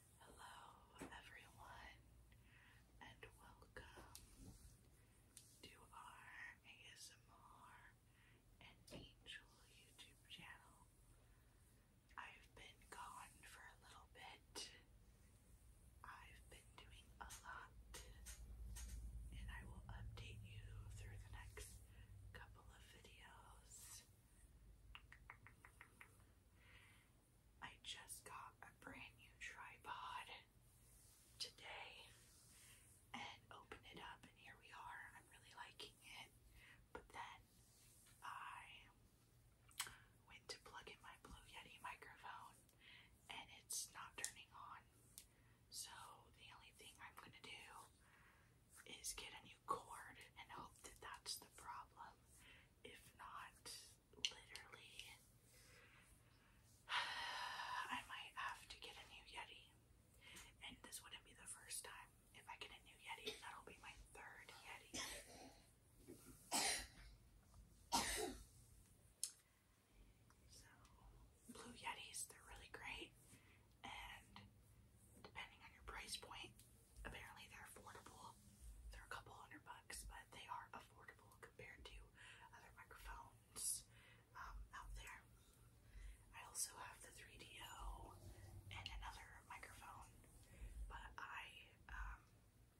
Hello, everyone, and welcome to our ASMR and Angel YouTube channel. I've been gone for a little bit. I've been doing a lot, and I will update you through the next couple of videos. I just got a brand new tripod today and opened it up, and here we are. I'm really liking it. But then I went to plug in my Blue Yeti microphone, and it's not turning on. So the only thing I'm gonna do is get a new cord and hope that that's the problem if not literally, I might have to get a new Yeti. And this wouldn't be the first time. If I get a new Yeti, that'll be my third Yeti. So, blue Yetis, they're really great. And depending on your price point, apparently they're affordable. They're a couple hundred bucks, but they are affordable compared to other microphones um, out there. I also have the 3DO and another microphone, but I um,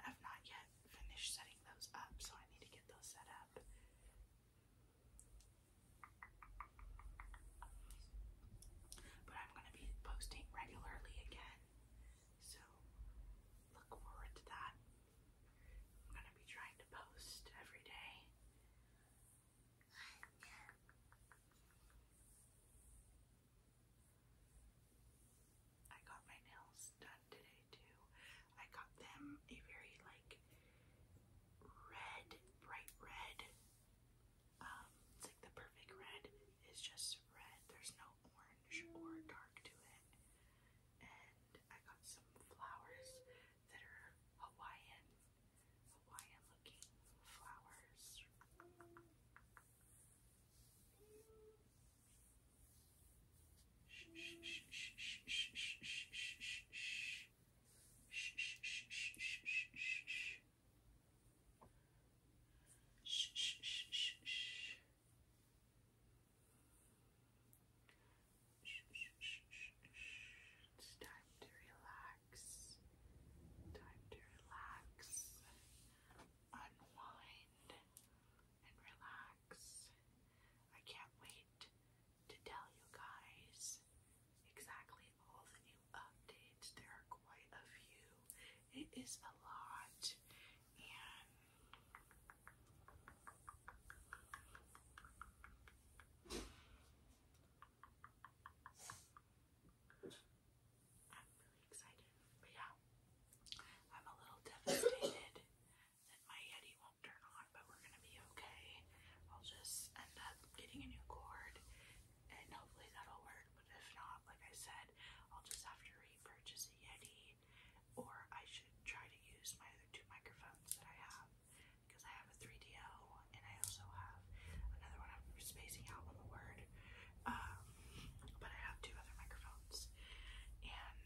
have not yet finished setting those up, so I need to get those set up. But I'm going to be posting regularly again. So look forward to that. I'm going to be trying to post every day. I got my nails done today too. I got them a very like red, bright red um, it's like the perfect red is just red. There's no orange or dark to it. And I got some flowers that are Hawaiian, Hawaiian looking flowers. Shh, shh, shh, shh, shh. Shh, shh, shh, shh, shh. It's time to relax. Time to relax. Unwind and relax. I can't wait to tell you guys exactly all the new updates. There are quite a few. It is a lot, and I'm really excited. But yeah, I'm a little devastated that my Yeti won't turn on but we're gonna be okay. I'll just end up getting a new cord and hopefully that'll work. But if not, like I said, I'll just have to repurchase a Yeti or I should try to use my other two microphones that I have because I have a 3DO and I also have another one. I'm spacing out on the word. Um, but I have two other microphones and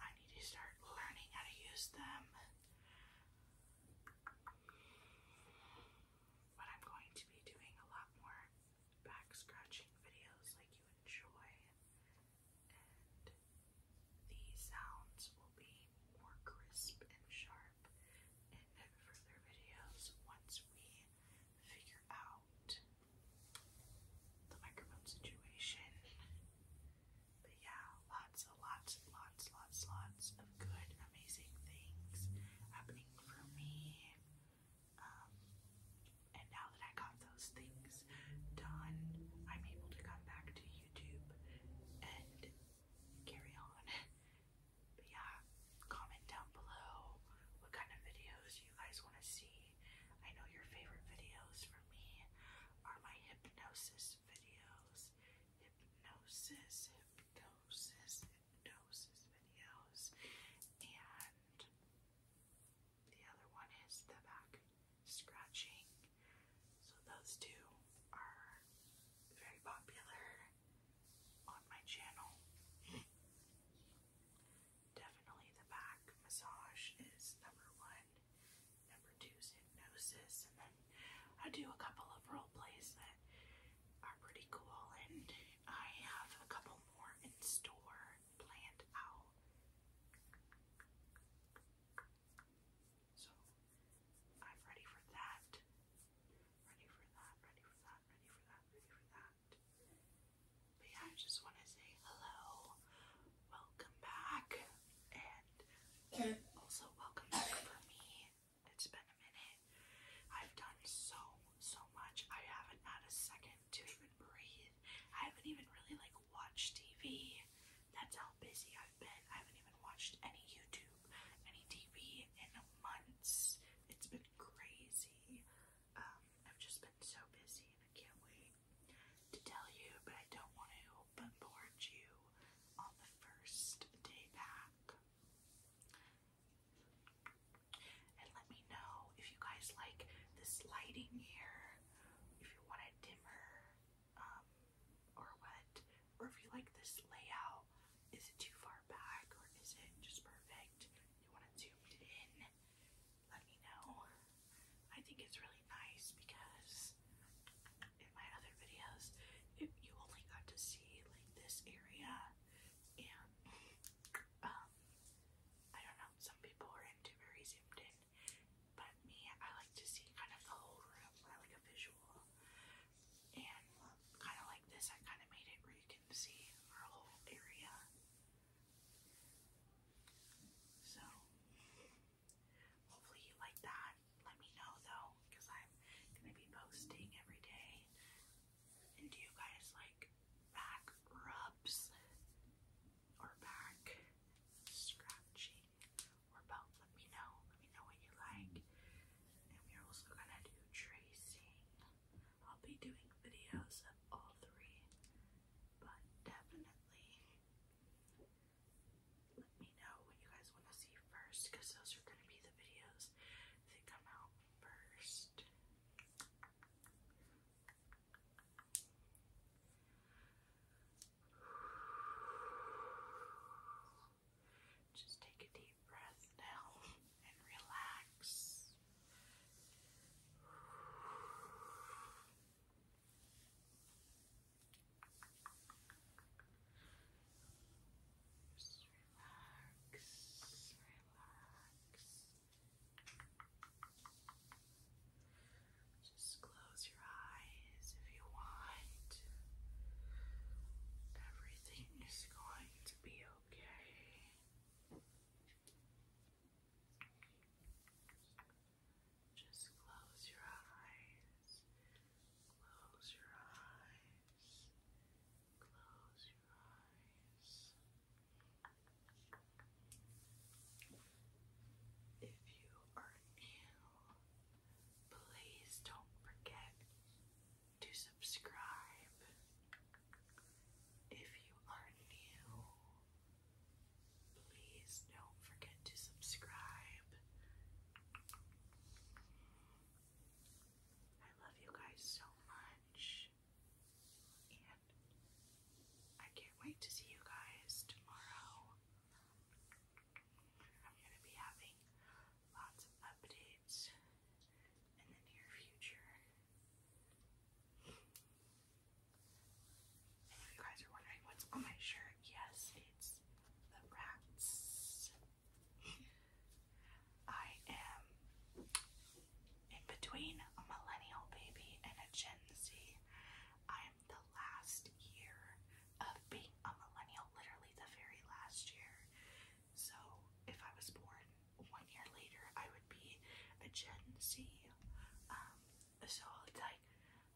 I need to start learning how to use them but I'm going to be doing a lot more back scratching videos like you enjoy, and the sounds will be more crisp and sharp in further videos once we figure out the microphone situation but yeah, lots and lots and lots, lots, lots of good, amazing things happening for me. Um, and now that I got those things done, I'm able to come back to YouTube and carry on. But yeah, comment down below what kind of videos you guys want to see. I know your favorite videos for me are my hypnosis those videos, hypnosis, hypnosis, hypnosis videos, and the other one is the back scratching. So those two are very popular on my channel. Definitely the back massage is number one. I do a couple of role plays that are pretty cool, and I have a couple more in store planned So I'm ready for that. Ready for that, ready for that, ready for that, ready for that. But yeah, I just want to say hello, welcome back, and also welcome back for me. It's been a minute. I've done so, so much. I haven't had a second to even breathe. I haven't even really like watched TV. That's how busy I've been. I haven't even watched any YouTube, any TV in months. It's been crazy. Um, I've just been so busy and I can't wait to tell you, but I don't want to bombard you on the first day back. And let me know if you guys like this lighting here, if you want it dimmer, um, or what, or if you like this layout. Is it too far back or is it just perfect? You want to zoom in? let me know. I think it's really nice because in my other videos, it, you only got to see like this area, and um, I don't know. Some people are into very zoomed in, but me, I like to see kind of the whole room. like a visual, and kind of like this, I kind of made it where you can see our whole area. So, hopefully you like that. Let me know though, because I'm gonna be posting every day. And do you guys like back rubs or back scratching or both? Let me know. Let me know what you like. And we're also gonna do tracing. I'll be doing videos of all three, but definitely let me know what you guys want to see first because those are going to be the videos that come out first. Just take a deep deep now and relax. Just relax. Just close your eyes if you want. Everything is going to be okay. Just close your eyes. Close your eyes. Close your eyes. If you are new, please don't forget to subscribe if you are new. Please don't forget to subscribe. I love you guys so much. And I can't wait to see you guys tomorrow. I'm going to be having lots of updates in the near future. if you guys are wondering what's on my shirt, yes, it's the rats. I am in between a millennial baby and a Gen Z. I am the last year of being a millennial, literally the very last year. So if I was born one year later, I would be a Gen Z. Um, so it's like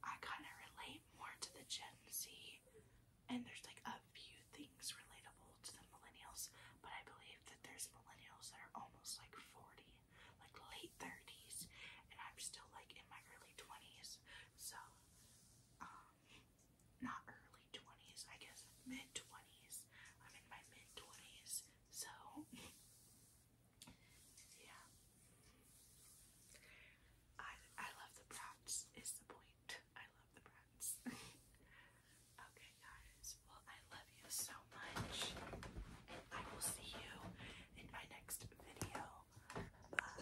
I kind of relate more to the Gen Z, and there's like a few things relatable to the millennials, but I believe that there's millennials that are almost like 40, like late 30s, and I'm still like in my early 20s. So, um, not early 20s, I guess mid 20s. I'm in my mid 20s, so yeah. I I love the brats is the point. I love the brats. okay guys, well I love you so much. I will see you in my next video. Bye.